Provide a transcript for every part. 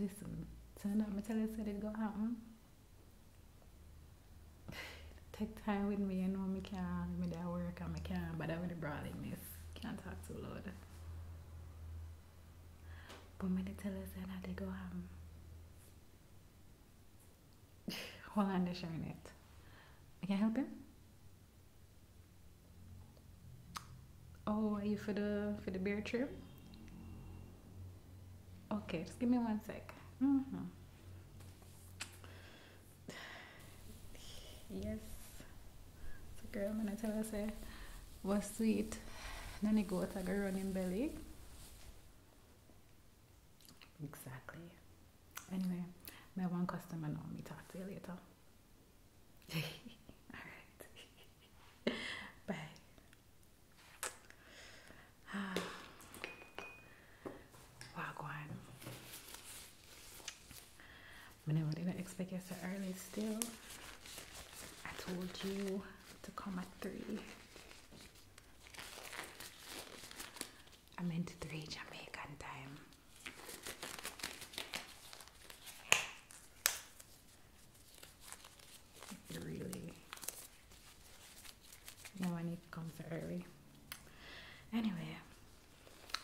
Listen, turn up my tell said it's gonna happen. Take time with me, I know me can't me that work and me can but I am with the brolly miss. Can't talk too Lord. But me tell her said that they go happen. While I'm sharing it. I can help him? Oh, are you for the for the beer trip? Okay, just give me one sec. Mm -hmm. Yes. So girl, I'm gonna tell her say was sweet. Then it go to girl running belly. Exactly. Anyway, my one customer now me talk to you later. All right. Bye. Ah. Wagwan. Whenever didn't expect it so early still. I told you to come at three. I meant three Jamaican time. Really. Now I need comes early. Anyway,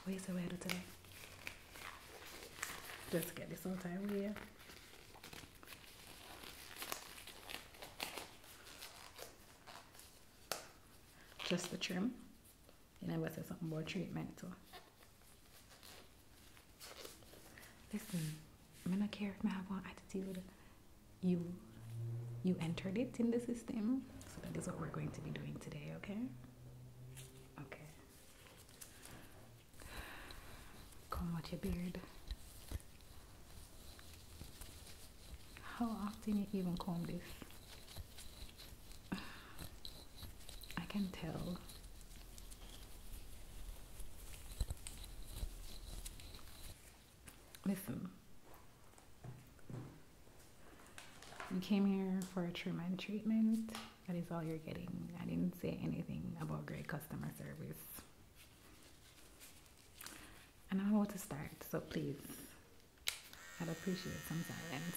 where's the weather today? Just get this on time yeah. Just the trim. You never said something more treatment too. Listen, I don't care if I have an attitude. You you entered it in the system. So that is what we're going to be doing today, okay? Okay. Comb out your beard. How often you even comb this? I can tell. Listen, you came here for a treatment treatment. That is all you're getting. I didn't say anything about great customer service. And I'm about to start, so please I'd appreciate some silence.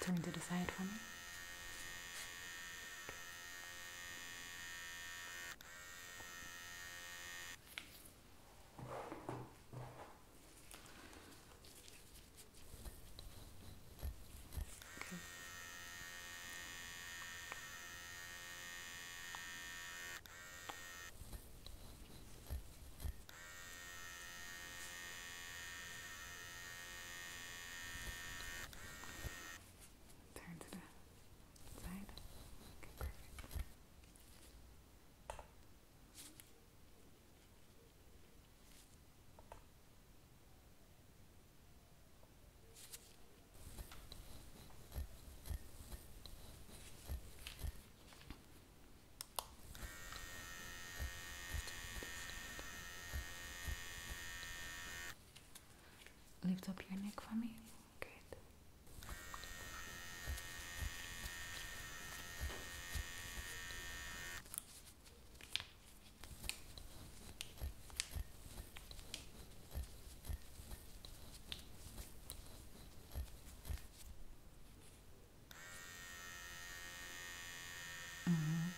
Turn to the side for me. Okay. Turn to the side. Okay, perfect. Lift up your neck for me. Good mmhmm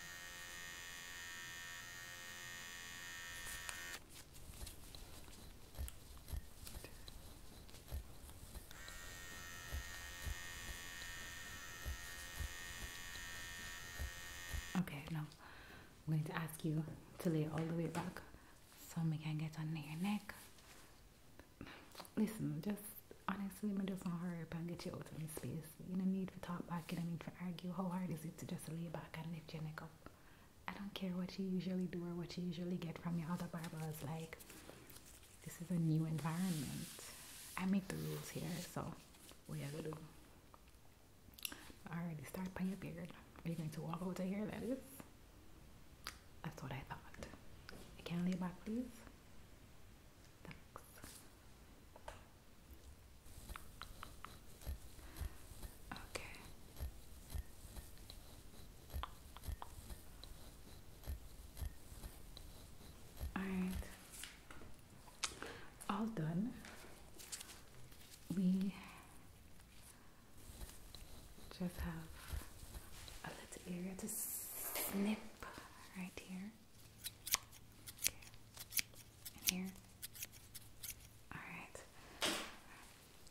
Okay, now I'm going to ask you to lay all the way back so we can get under your neck. Listen, just honestly, I'm just want to hurry up and get you out of my space. You don't need to talk back, you don't need to argue. How hard is it to just lay back and lift your neck up? I don't care what you usually do or what you usually get from your other barbers. Like, this is a new environment. I make the rules here, so we you gotta do? Already start playing your beard. Are you going to walk over to here? That is. That's what I thought. can't leave back, please. Thanks. Okay. All right, all done. We just have a little area to snip right here. Okay. here. Alright.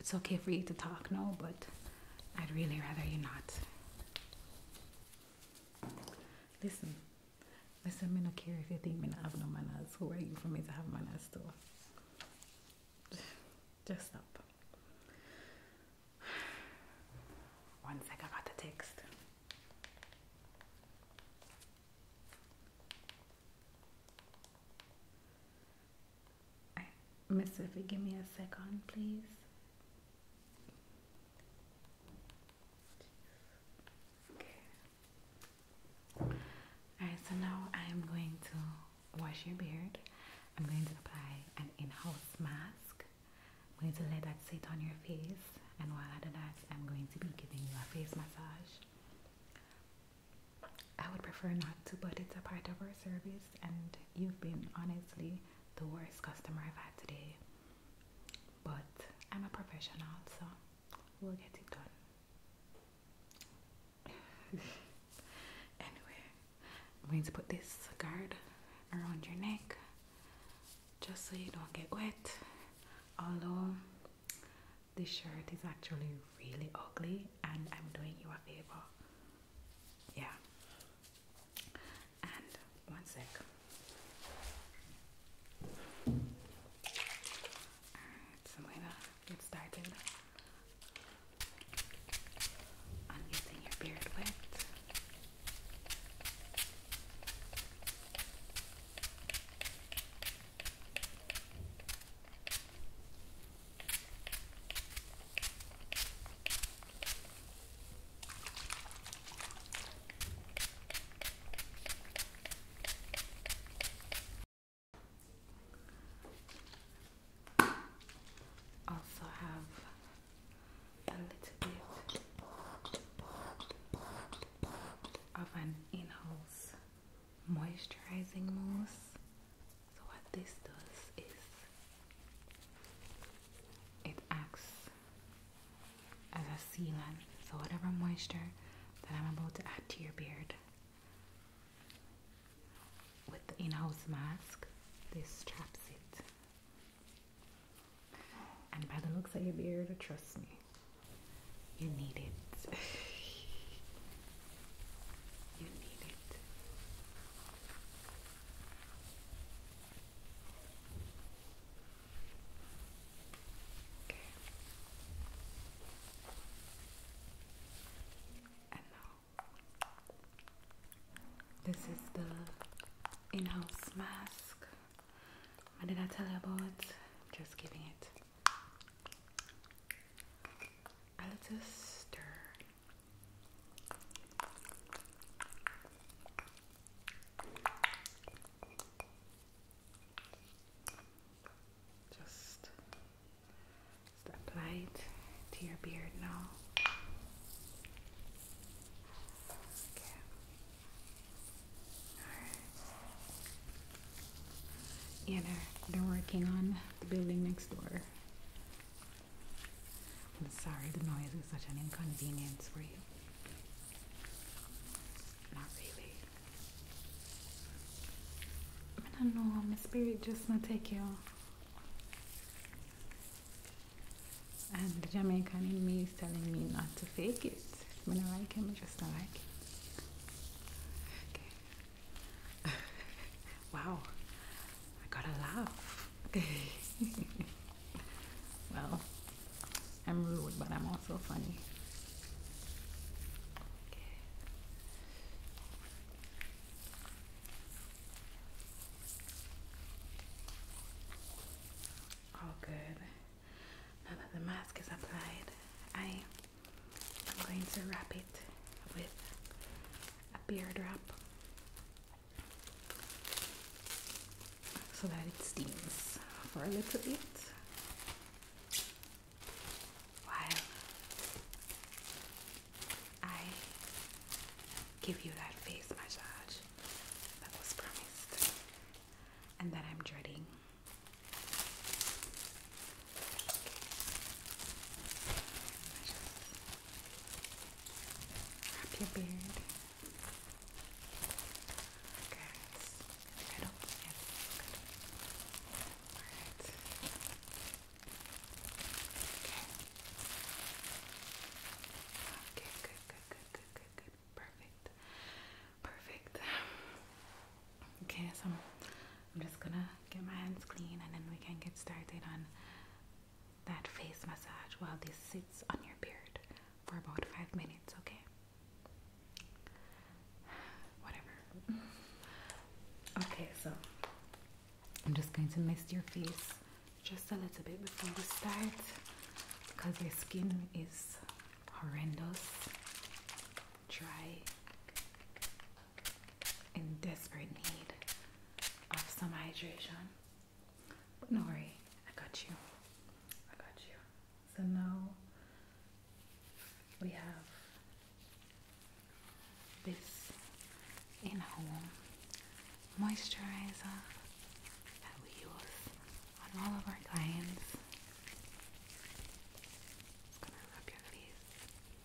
It's okay for you to talk no, but I'd really rather you not. Listen, listen, men do care if you think men have no manners. Who are you for me to have manners too? Just stop. One sec, I the text. Miss Vivi, give me a second, please. Okay. Alright, so now I'm going to wash your beard. I'm going to apply an in-house mask. I'm going to let that sit on your face, and while I do that, I'm going to be giving you a face massage. I would prefer not to, but it's a part of our service, and you've been honestly the worst customer I've had today. But I'm a professional, so we'll get it done. anyway, I'm going to put this guard around your neck just so you don't get wet. Although this shirt is actually really ugly, and I'm doing you a favor. Yeah, and one sec. Alright, so we're get started on using your beard wet. Also have a little bit of an in-house moisturizing mousse so what this does is it acts as a sealant. So whatever moisture that I'm about to add to your beard with the in-house mask, this traps it. And by the looks of your beard, trust me, you need it. you need it this is the in-house mask. What did I tell you about? Just giving it a little stir just, just apply it to your beard now. Okay. Alright. Yeah, they they're working on the building next door. I'm sorry the noise is such an inconvenience for you. Not really. I don't know, my spirit just not take you. And the Jamaican in me is telling me not to fake it. When I like him, I just like it. Wow, I gotta laugh. well, I'm rude, but I'm also funny. All good. Now that the mask is applied, I am going to wrap it with a beard wrap so that it steams for a little bit while I give you that face massage that was promised and then I'm dreading. Wrap your beard. Okay, middle. Alright. Okay. good, good, good, good, good, good. Perfect. Perfect. Okay, so I'm just gonna get my hands clean and then we can get started on that face massage while this sits on your beard for about five minutes, okay? Whatever. Okay, so I'm just going to mist your face just a little bit before we start because your skin is horrendous, dry, in desperate need of some hydration. But no worry, I got you. I got you. So now we have this in home moisturizer that we use on all of our clients. It's gonna rub your face.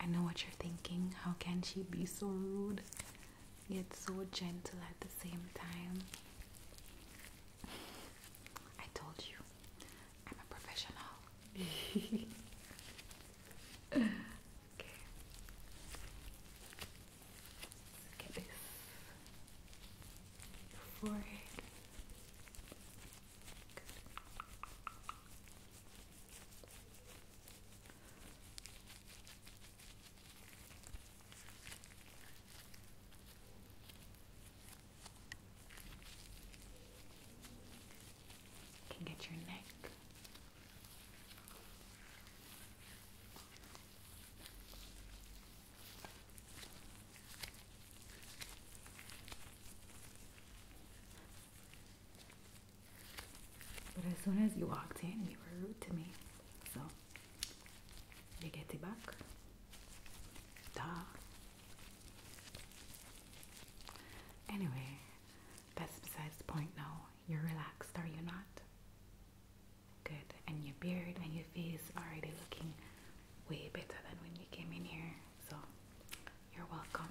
I know what you're thinking. How can she be so rude yet so gentle at the same time? I told you, I'm a professional. okay. Look can get your neck. But as soon as you walked in, you were rude to me. So you get it back. Duh. Anyway, that's besides the point now. You're relaxed, are you not? Good. And your beard and your face are already looking way better than when you came in here. So, you're welcome.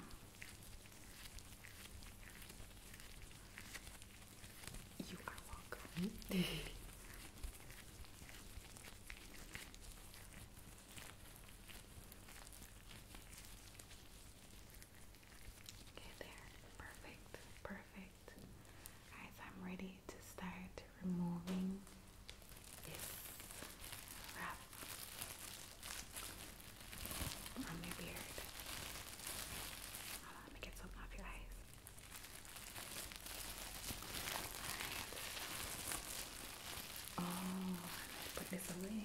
You are welcome. Hmm? Okay, there. Perfect, perfect. Guys, I'm ready to start removing this wrap from your beard. let me get something off your eyes. Oh, put this away.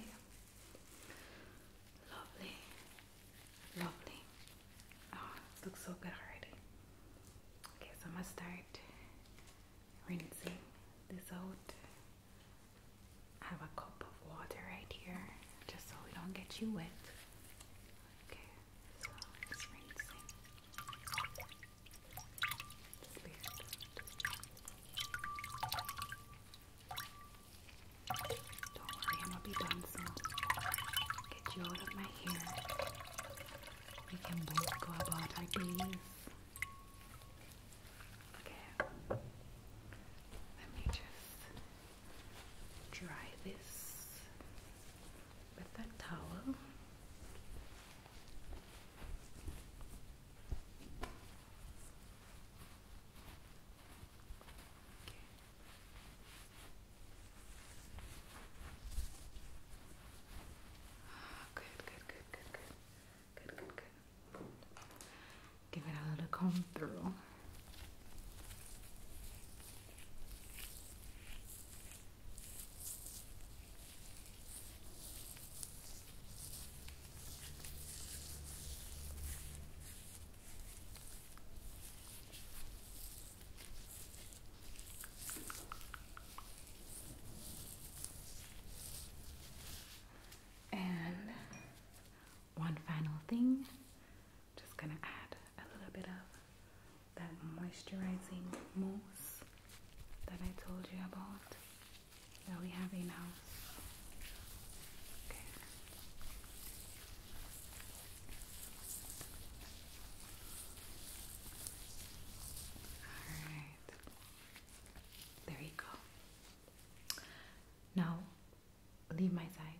Lovely, lovely. Oh, looks so good already. Okay, so I'm gonna start rinsing this out. I have a cup of water right here just so we don't get you wet. Okay. Don't worry, I'm going be done soon. Get you out of my hair. We can both go about our days. Okay. Let me just dry this with that towel. Good, good, good, good, good, good, good, Give it a little comb through. And one final thing, I'm just gonna add a little bit of that moisturizing mousse that I told you about that we have in house. Alright. There you go. Now leave my side.